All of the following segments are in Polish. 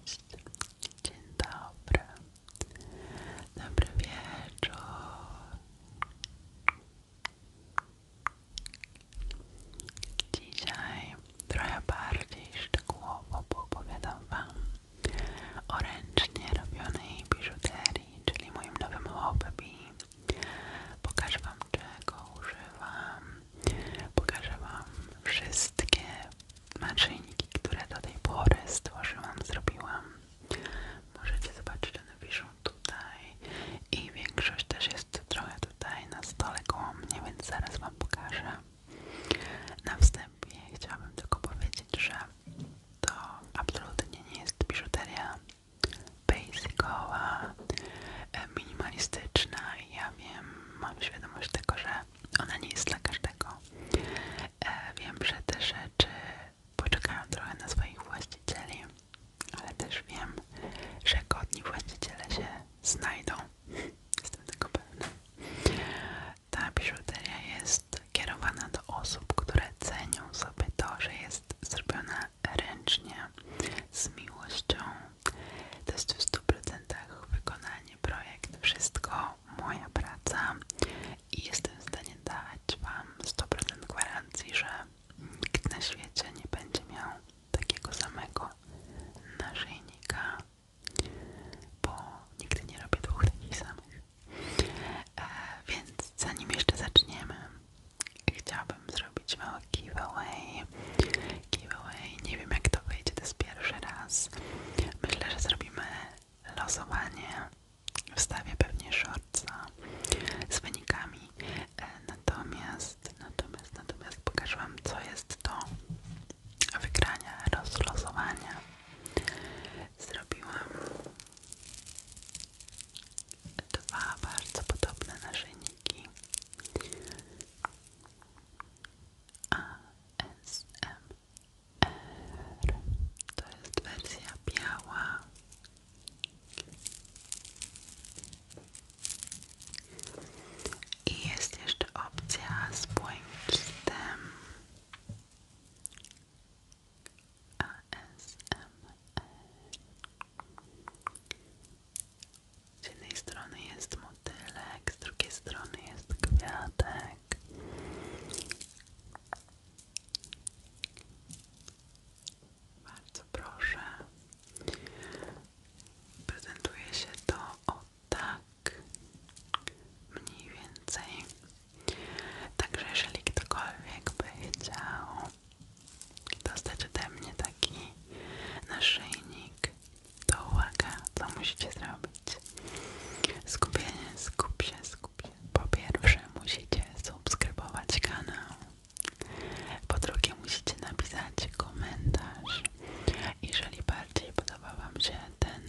Cześć, dzień dobry, dobry wieczór. Dzisiaj trochę bardziej szczegółowo opowiadam Wam o ręcznie robionej biżuterii, czyli moim nowym hobby. Pokażę Wam czego używam, Pokażę Wam wszystkie naczyjniki, które do tej pory stworzyłam, zrobiłam. Możecie zobaczyć, one wiszą tutaj i większość też jest trochę tutaj na stole koło mnie, więc zaraz Wam pokażę. Na wstępie chciałabym tylko powiedzieć, że to absolutnie nie jest biżuteria basicowa, e, minimalistyczna. Ja wiem, mam świadomość tego, że ona nie jest dla każdego. E, wiem, że te rzeczy poczekają trochę na swoich właścicieli, ale też wiem, że godni właściciele się znajdą. Jestem tego pewna. Ta biżuteria jest kierowana do osób, które cenią sobie to, że jest zrobiona ręcznie, z miłością, to jest w 100% wykonanie, projekt, wszystko, moja praca i jestem w stanie dać Wam 100% gwarancji, że nikt na świecie nie będzie miał takiego samego naszyjnika, bo nigdy nie robię dwóch takich samych. E, więc zanim jeszcze zaczniemy, chciałabym zrobić mały giveaway giveaway. Nie wiem jak to wyjdzie, to jest pierwszy raz. Myślę, że zrobimy losowanie. Wstawię pewnie shortsa z wynikami. E, natomiast, natomiast, natomiast pokażę Wam co jest do wygrania, rozlosowania. Zrobiłam dwa bardzo podobne naszyjniki. ASMR to jest wersja biała i jest jeszcze opcja z błękitem z jednej strony jest motylek, z drugiej strony jest kwiatek. Bardzo proszę. Prezentuje się to o tak mniej więcej. Także jeżeli ktokolwiek by chciał dostać ode mnie taki naszyjnik to uwaga, co musicie zrobić. Skupienie, skup się, skup się. Po pierwsze musicie subskrybować kanał. Po drugie musicie napisać komentarz. Jeżeli bardziej podoba Wam się ten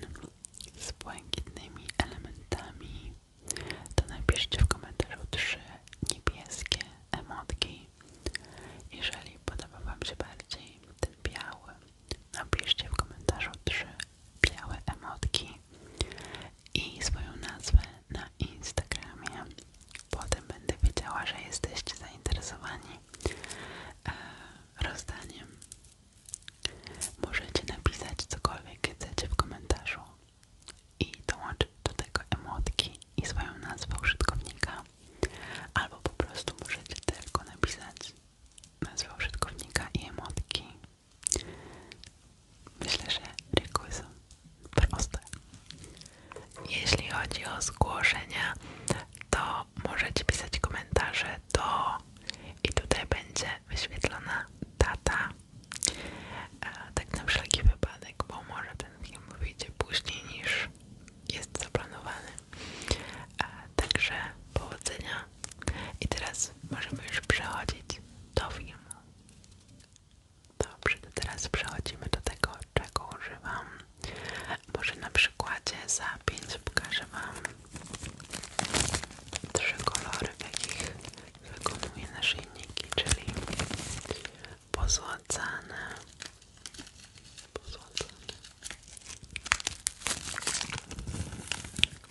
z błękitnymi elementami, to napiszcie w komentarzu trzy niebieskie emotki jeżeli podoba Wam się bardziej ten biały, napiszcie w komentarzu trzy białe emotki i swoją nazwę na Instagramie. Potem będę wiedziała, że jesteście zainteresowani e, rozdaniem. Możecie napisać cokolwiek chcecie w komentarzu i dołączyć do tego emotki i swoją nazwę użytkownika. Albo po prostu możecie tylko napisać nazwę użytkownika i emotki. Myślę, że reguły są proste. Jeśli chodzi o zgłoszenia, to możecie pisać komentarze do i tutaj będzie wyświetlona data. E, tak na wszelki wypadek, bo może ten film wyjdzie później niż jest zaplanowany. E, także powodzenia. I teraz możemy już przechodzić do filmu. Dobrze, to teraz przechodzimy do tego, czego używam. Może na przykładzie za 5 pokażę Wam trzy kolory, w jakich wykonuję naszyjniki, czyli pozłacane,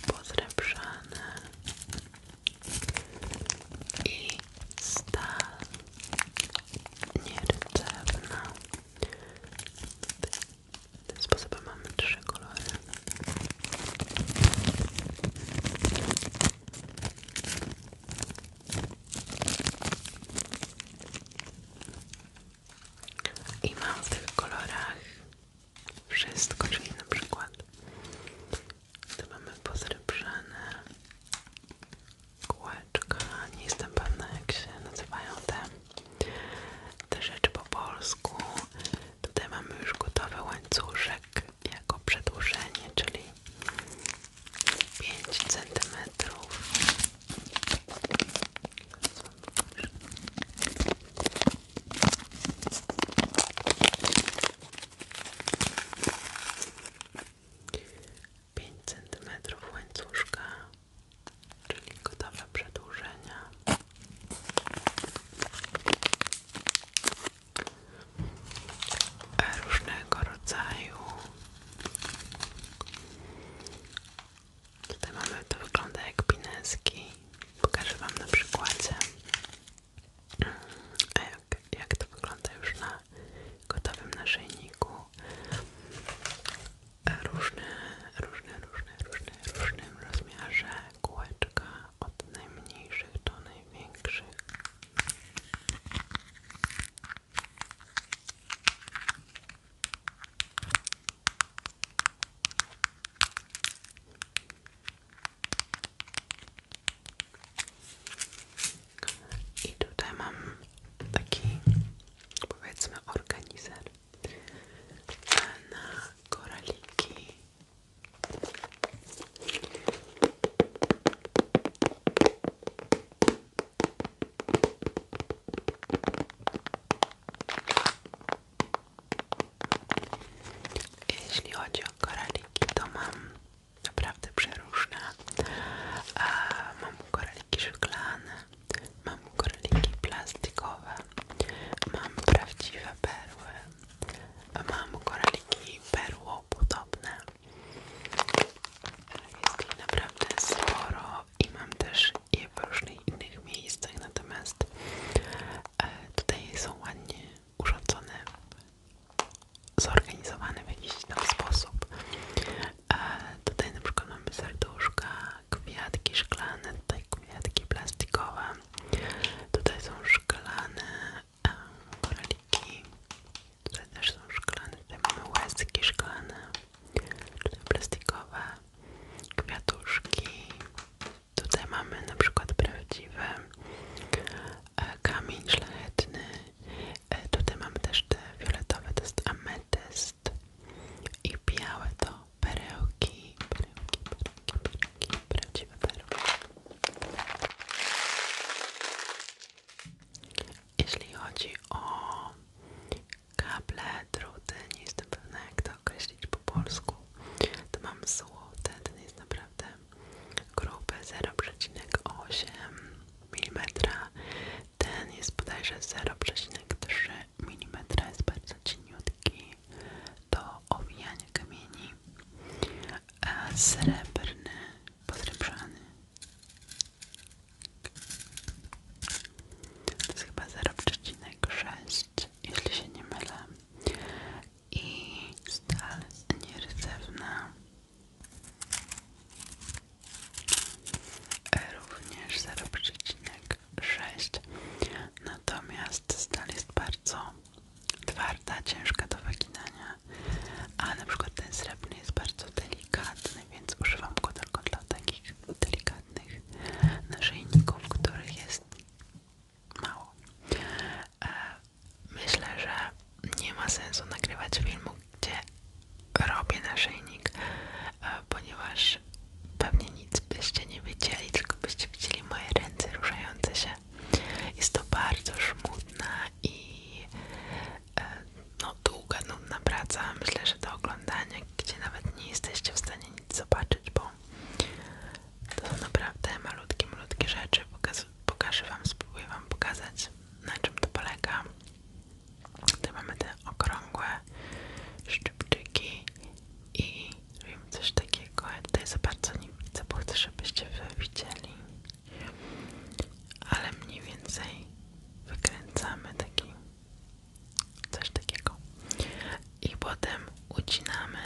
pozrebrzane i stal nierdzewna. Tym sposobem mamy trzy kolory. I mam w tych kolorach wszystko, czyli na przykład tu mamy pozrybrzane kółeczka, nie jestem pewna jak się nazywają te, te rzeczy po polsku. Tutaj mamy już gotowy łańcuszek jako przedłużenie, czyli 5 cm 5 cm łańcuszka, czyli gotowe przedłużenia. Różnego rodzaju Tutaj mamy, to wygląda jak pineski. Pokażę Wam na przykładzie, jak, to wygląda już na gotowym naszyjniku. Różne, różne, różne, różne, różnym rozmiarze kółeczka od najmniejszych do największych. I tutaj mam taki, powiedzmy, organizer na koraliki. Jeśli chodzi o koraliki, to mam naprawdę przeróżne. Mam koraliki szklane, mam koraliki plastikowe, mam prawdziwe perły, mam koraliki perłopodobne. Jest ich naprawdę sporo i mam też je w różnych innych miejscach, natomiast e, tutaj są ładnie urządzone, zorganizowane w jakiś tam sposób. E, tutaj na przykład mamy serduszka, kwiatki szklane, tutaj kwiatki plastikowe, tutaj są szklane e, koraliki, tutaj też są szklane, tutaj mamy łezki szklane tutaj plastikowe kwiatuszki. Tutaj mamy na przykład prawdziwy e, kamień szlachetny. E, tutaj mamy też te fioletowe, to jest ametyst i białe to perełki, perełki, perełki, perełki, prawdziwe perełki. Jeśli chodzi o kable, druty, nie jestem pewna jak to określić po polsku. To mam złote, ten jest naprawdę gruby, 0,8 mm. Ten jest bodajże 0,3 mm, jest bardzo cieniutki do owijania kamieni. A srebrny, podręczany to jest chyba 0,6, jeśli się nie mylę. I stal nieryzewna. E, również 0,6. Natomiast stal jest bardzo twarda, ciężka do wyginania. A na przykład ten srebrny jest bardzo delikatny, więc używam go tylko dla takich delikatnych naszyjników, których jest mało. E, myślę, że nie ma sensu nagrywać filmu, gdzie robię naszyjnik, e, ponieważ pewnie nic byście nie widzieli, tylko byście widzieli moje ręce ruszające się. Jest to bardzo żmudna i E, no, długa, nudna praca. Myślę, że do oglądania, gdzie nawet nie jesteście w stanie nic zobaczyć, bo to są naprawdę malutkie, malutkie rzeczy. Pokaz pokażę Wam, spróbuję Wam pokazać, na czym to polega. Tu mamy te okrągłe szczypczyki i robimy coś takiego. Ja tutaj za bardzo nie widzę, bo chcę, żebyście to widzieli. Ale mniej więcej wykręcamy taki coś takiego i potem ucinamy,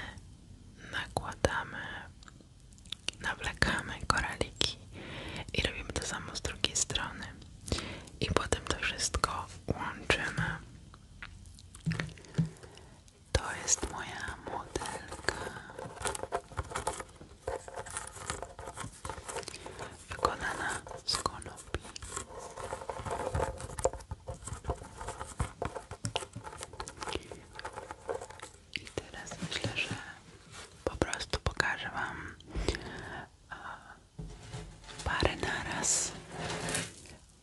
nakładamy, nawlekamy koraliki i robimy to samo z drugiej strony i potem to wszystko łączymy to jest moja modelka wykonana z konopi. I teraz myślę, że po prostu pokażę Wam parę naraz,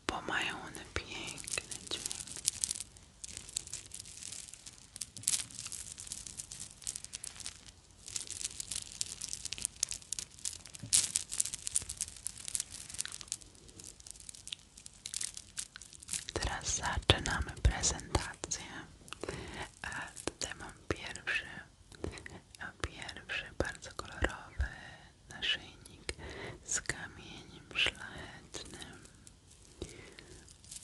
bo mają one piękny Teraz zaczynamy prezentację. A tutaj mam pierwszy, pierwszy bardzo kolorowy naszyjnik z kamieniem szlachetnym.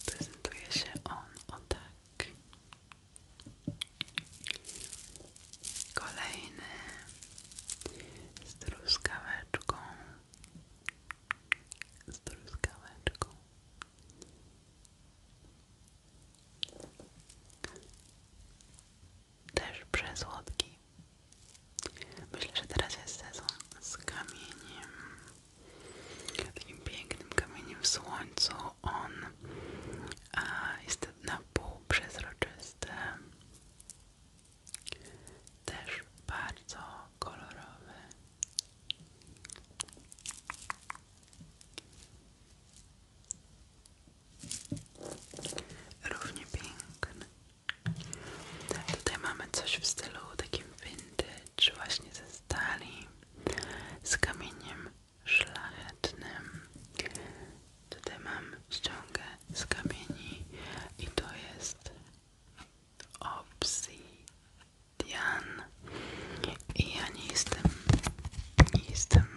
Prezentuje się on o tak. Tak. Kolejny z truskaweczką. Z truskaweczką. Też przesłodki. Myślę, że teraz jest sezon z kamieniem. Takim pięknym kamieniem w słońcu bo on jest na pół przezroczysty. Też bardzo kolorowe, Równie piękne. Tutaj mamy coś w stylu takim vintage, właśnie ze stali, z kamieniem szlachetnym. Tutaj mam ściągę z kamieni i to jest obsidian. I ja nie jestem, nie jestem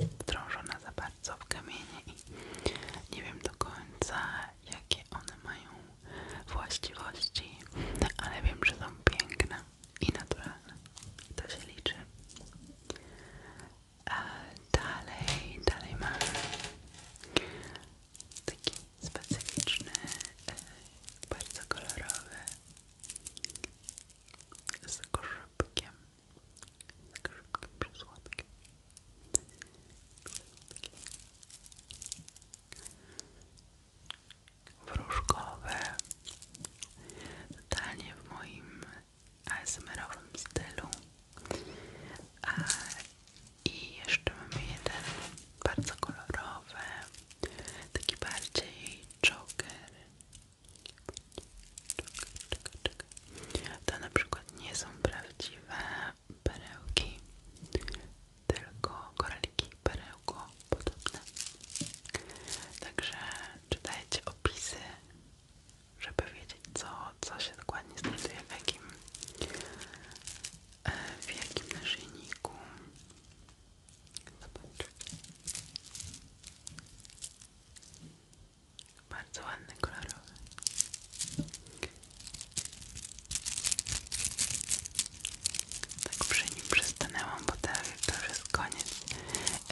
e, wdrążona za bardzo w kamienie i nie wiem do końca jakie one mają właściwości, no, ale wiem, że są piękne i naturalne. To się liczy. dalej, dalej mamy taki specyficzny, e, bardzo kolorowy z koszybkiem. Z koszybkiem przysłodkiem w wróżkowe, totalnie w moim asmr stylu. A, I jeszcze mamy jeden bardzo kolorowy, taki bardziej joker. To na przykład nie są prawdziwe perełki, tylko koraliki perełko podobne. Także czytajcie opisy, żeby wiedzieć co, co się dokładnie znajduje w jakim e, w jakim naszyjniku. Zobacz. Bardzo ładny, kolorowy tak przy nim przystanęłam, bo to, już jest koniec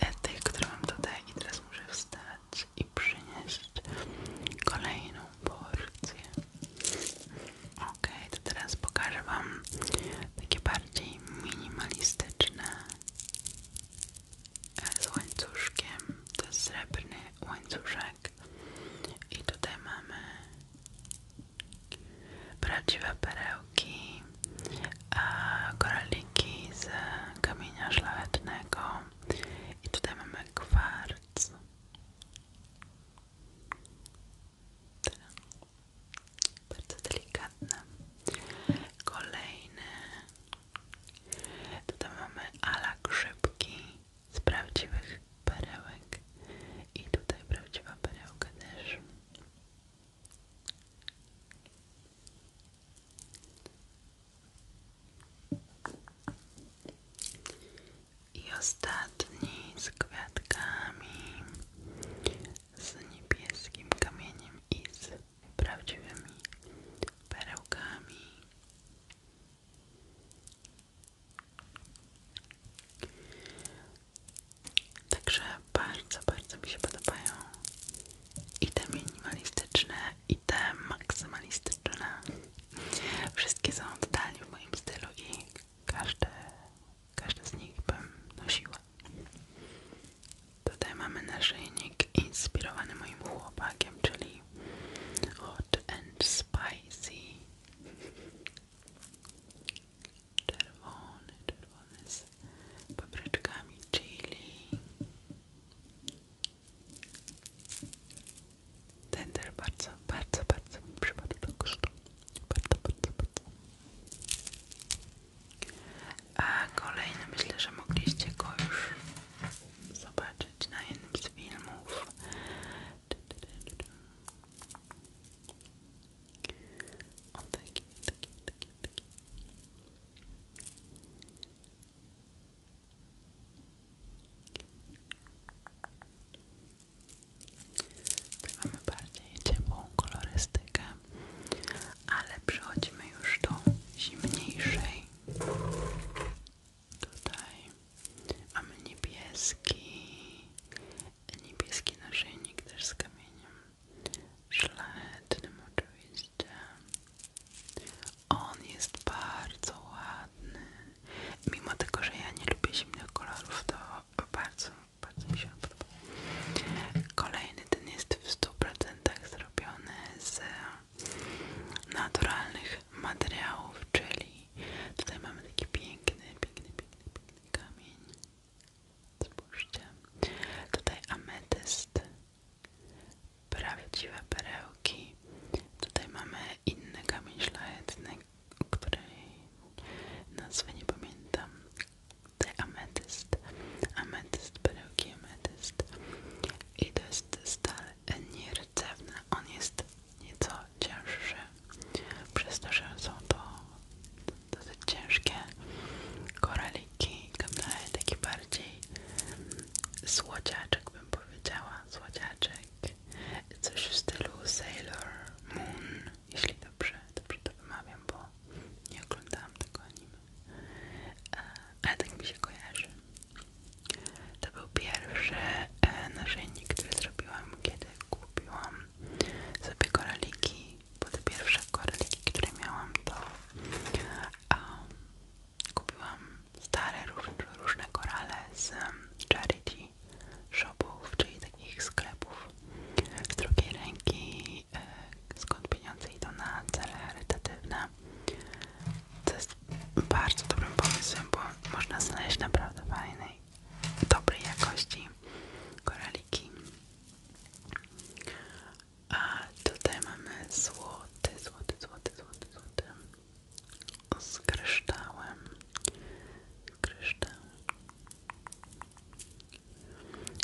e, tej, którą mam tutaj i teraz muszę wstać i przynieść kolejną porcję. Ok, to teraz pokażę wam takie bardziej minimalistyczne e, z łańcuszkiem, to jest srebrny łańcuszek i tutaj mamy prawdziwe perełki, koraliki z kamienia szlachetnego i tutaj mamy kwarc. Bardzo delikatne. Kolejny. Tutaj mamy ala grzybki z prawdziwych perełek. I tutaj prawdziwa perełka też. I ostatni z kwiatkami, z niebieskim kamieniem i prawdziwymi perełkami. Także bardzo, bardzo mi się podobają i te minimalistyczne, i te maksymalistyczne. Wszystkie są totalnie w moim stylu i każdy, każdy z nich bym nosiła. Tutaj mamy naszyjnik inspirowany moim chłopakiem, czyli Hot and Spicy czerwony, czerwony z papryczkami chili. tender też bardzo, bardzo, bardzo mi przypadł do gustu. Bardzo, bardzo, bardzo. A kolejny, myślę, że mogliście go już zobaczyć na jednym z filmów. O taki, taki, taki, taki. Tutaj mamy bardziej ciepłą kolorystykę, ale przechodzimy już do zimniejszej. Tutaj mamy niebieski, niebieski naszyjnik też z kamieniem szlachetnym oczywiście. On jest bardzo ładny. Mimo tego, że ja nie lubię zimnych kolorów, to bardzo, bardzo mi się podoba. Kolejny ten jest w 100% zrobiony z naturalnych materiałów, czyli tutaj mamy taki piękny, piękny, piękny, piękny kamień. Spójrzcie. Tutaj ametyst. Prawdziwe perełki. Tutaj mamy inny kamień szlachetny, której nazwy nie pamiętam. Tutaj ametyst. Ametyst, perełki, ametyst. I to jest stal nierdzewny. On jest nieco cięższy. Przez to, że są to dosyć ciężkie koraliki, daje taki bardziej słodziaczek bym powiedziała, słodziaczek, coś w stylu Sailor Moon, jeśli dobrze, dobrze to wymawiam, bo nie oglądałam tego anime, e, ale tak mi się kojarzy. To był pierwszy e, naszyjnik, który zrobiłam, kiedy kupiłam sobie koraliki, bo te pierwsze koraliki, które miałam, to um, kupiłam stare, różne, różne korale z um, charity shopów, czyli takich sklepów z drugiej ręki, e, skąd pieniądze idą na cele charytatywne. To jest bardzo dobrym pomysłem, bo można znaleźć naprawdę fajnej, dobrej jakości koraliki a tutaj mamy złoty, złoty, złoty, złoty, złoty z kryształem. Kryształ.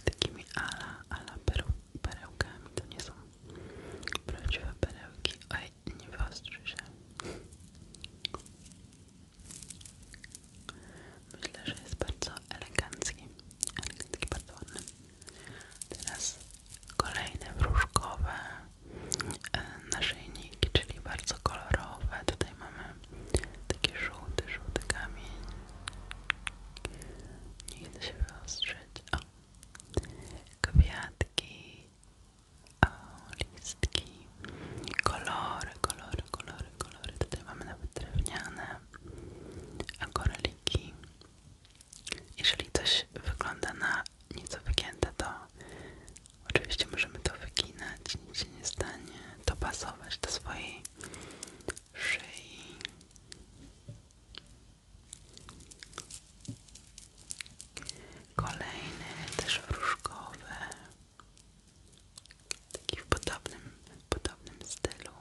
Takimi ala, ala perełkami. To nie są prawdziwe perełki. Oj, nie wyostrzy się. Myślę, że jest bardzo elegancki, elegancki, bardzo ładny. Teraz kolejne wróżkowe e, naszyjniki, czyli bardzo kolorowe. Tutaj mamy taki żółty, żółty kamień. Nie idę się wyostrzyć. O. Kwiatki, o, listki, kolory, kolory, kolory, kolory. Tutaj mamy nawet drewniane koraliki. Jeżeli coś wygląda na nieco wygięte, to oczywiście możemy to wyginać, nic się nie stanie, dopasować do swojej szyi. Kolejny, też wróżkowy. Taki w podobnym, podobnym stylu,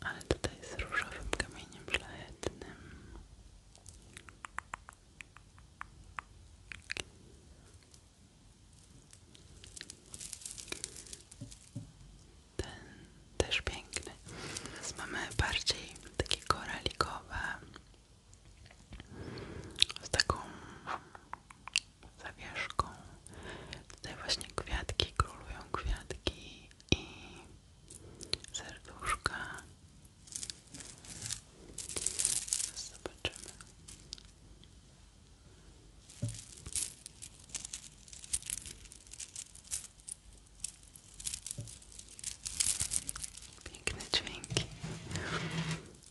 ale tutaj z różowym kamieniem szlachetnym. Ten też piękny. Teraz mamy bardziej takie koralikowe z taką zawieszką. Tutaj właśnie kwiatki, królują kwiatki i serduszka. Zobaczymy. Piękne dźwięki.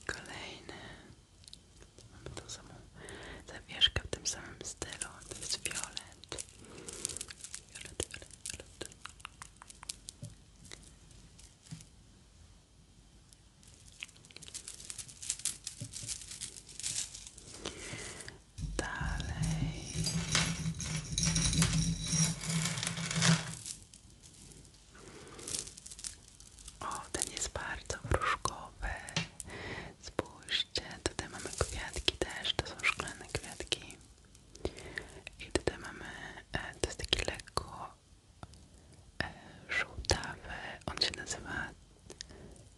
Kolejny. Mamy tą samą zawieszkę w tym samym stylu. To jest fiolet. Dalej. O, ten jest bardzo wróżkowy. Spójrzcie, tutaj mamy kwiatki też, to są szklane kwiatki. I tutaj mamy, e, to jest taki lekko e, żółtawy, on się nazywa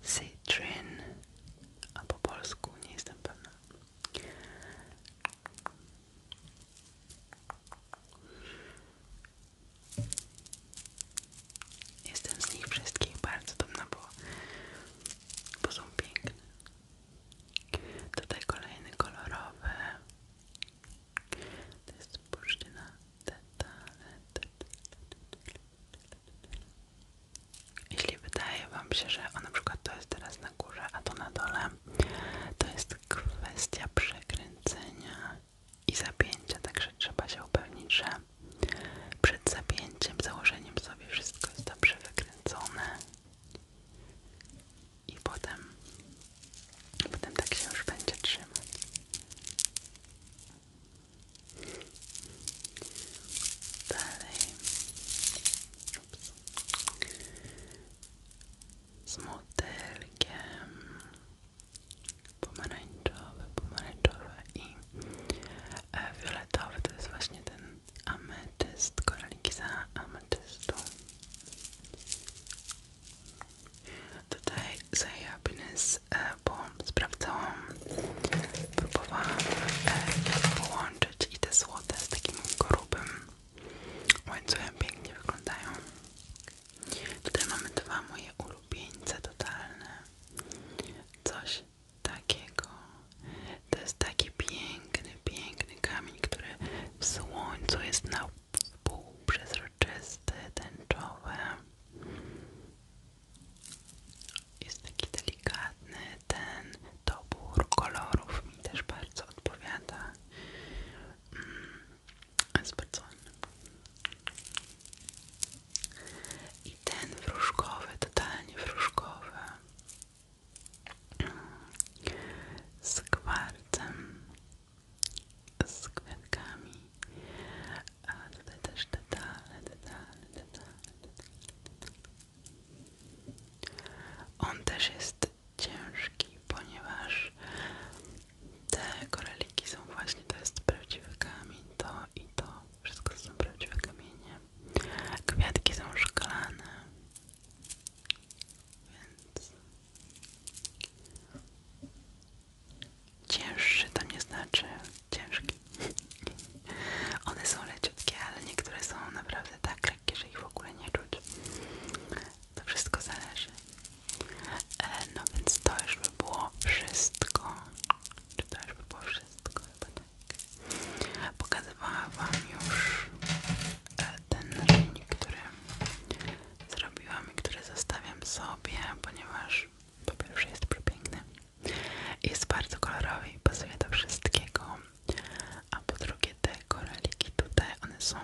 Citrin, a po polsku nie jestem pewna. Jestem z nich wszystkich bardzo dumna, bo, bo są piękne. Tutaj kolejny kolorowy. To jest bursztyna Jeśli wydaje Wam się, że o, na to jest teraz na górze, a to na dole, to jest kwestia przekręcenia i zapięcia, także trzeba się upewnić, że przed zapięciem, założeniem sobie wszystko jest dobrze wykręcone i potem, potem tak się już będzie trzymać. Dalej. Ups. Z motylkiem pomarańczowy, pomarańczowy i e, fioletowy to jest właśnie ten ametyst, koraliki za ametystu tutaj za happiness, bo sprawdzałam, próbowałam e, połączyć i te złote z takim grubym łańcuchem pięknie wyglądają Tutaj mamy dwa moje ulubieńce totalne. Coś takiego. To jest taki piękny, piękny kamień, który w słońcu jest na pół przezroczysty, tęczowy. Jest taki delikatny. Ten dobór kolorów mi też bardzo odpowiada. Mm. Jest bardzo ładny. I ten wróżkowy, totalnie wróżkowy. Z kwarcem, z kwiatkami. A tutaj też detale, detale, detale, detale. On też jest ciężki, ponieważ te koraliki są właśnie, to jest prawdziwy kamień, to i to, wszystko to są prawdziwe kamienie. Kwiatki są szklane, więc cięższy to nie znaczy ciężki. One są leciutkie, ale niektóre są naprawdę tak lekkie, że ich w ogóle nie czuć. To wszystko zależy. E, no więc to już by było wszystko. Czy to już by było wszystko? Chyba tak. Pokazywałam Wam już e, ten narzędzi, który zrobiłam i który zostawiam sobie, ponieważ po pierwsze jest przepiękny. Jest bardzo kolorowy i pasuje do wszystkiego. A po drugie te koraliki tutaj, one są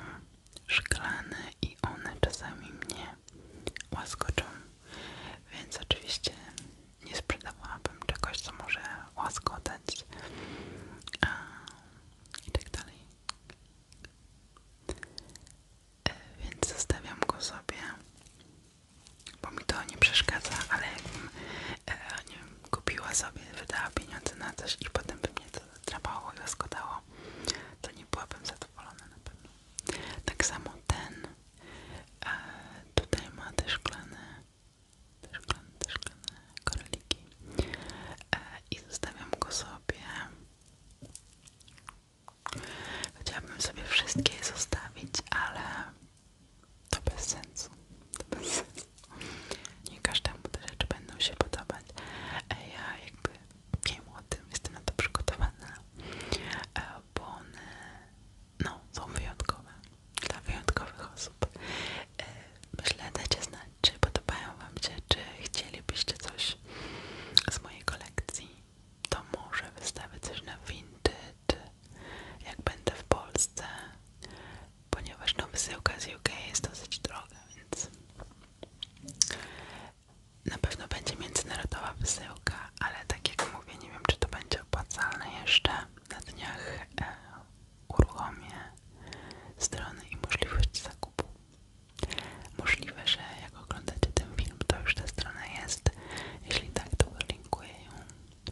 szklane i one czasami mnie łaskoczą więc oczywiście nie sprzedawałabym czegoś, co może łaskotać A, i tak dalej. E, więc zostawiam go sobie, bo mi to nie przeszkadza, ale jakbym e, kupiła sobie, wydała pieniądze na coś i potem by mnie to drapało i łaskotało, to nie byłabym zadowolona na pewno. Tak samo ten. tutaj ma te szklane, te szklane, te szklane koraliki. E, I zostawiam go sobie. Chciałabym sobie wszystkie zostawić, ale to bez sensu. To bez sensu. Nie każdemu te rzeczy będą się podobać. E, ja jakby wiem o tym, jestem na to przygotowana. E, bo one no, są wyjątkowe dla wyjątkowych osób. E, myślę, dajcie znać, czy podobają Wam się, czy chcielibyście coś z mojej kolekcji. To może wystawię coś na Vinted, jak będę w Polsce, ponieważ no, wysyłka z UK jest dosyć droga, więc na pewno będzie międzynarodowa wysyłka, ale tak jak mówię, nie wiem czy to będzie opłacalne jeszcze. Na dniach e, strony i możliwość zakupu. Możliwe, że jak oglądacie ten film, to już ta strona jest. Jeśli tak, to linkuję ją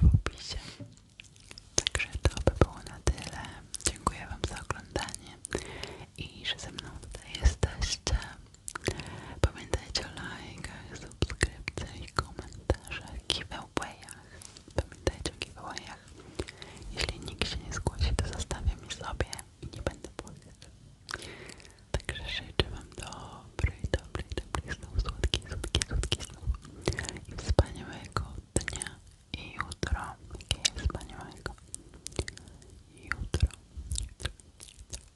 w opisie. Także to by było na tyle. Dziękuję Wam za oglądanie i że ze mną tutaj jesteście. Pamiętajcie o lajkach, subskrypcjach komentarzach, giveawayach. Pamiętajcie o giveawayach. Jeśli nikt się nie zgłosi, to zostawiam sobie i nie będę płakać. Także życzę Wam dobrej, dobrej, dobrych snów, słodkich, słodkich, słodkich snów i wspaniałego dnia i jutro. Jakie wspaniałego jutro. jutro, jutro.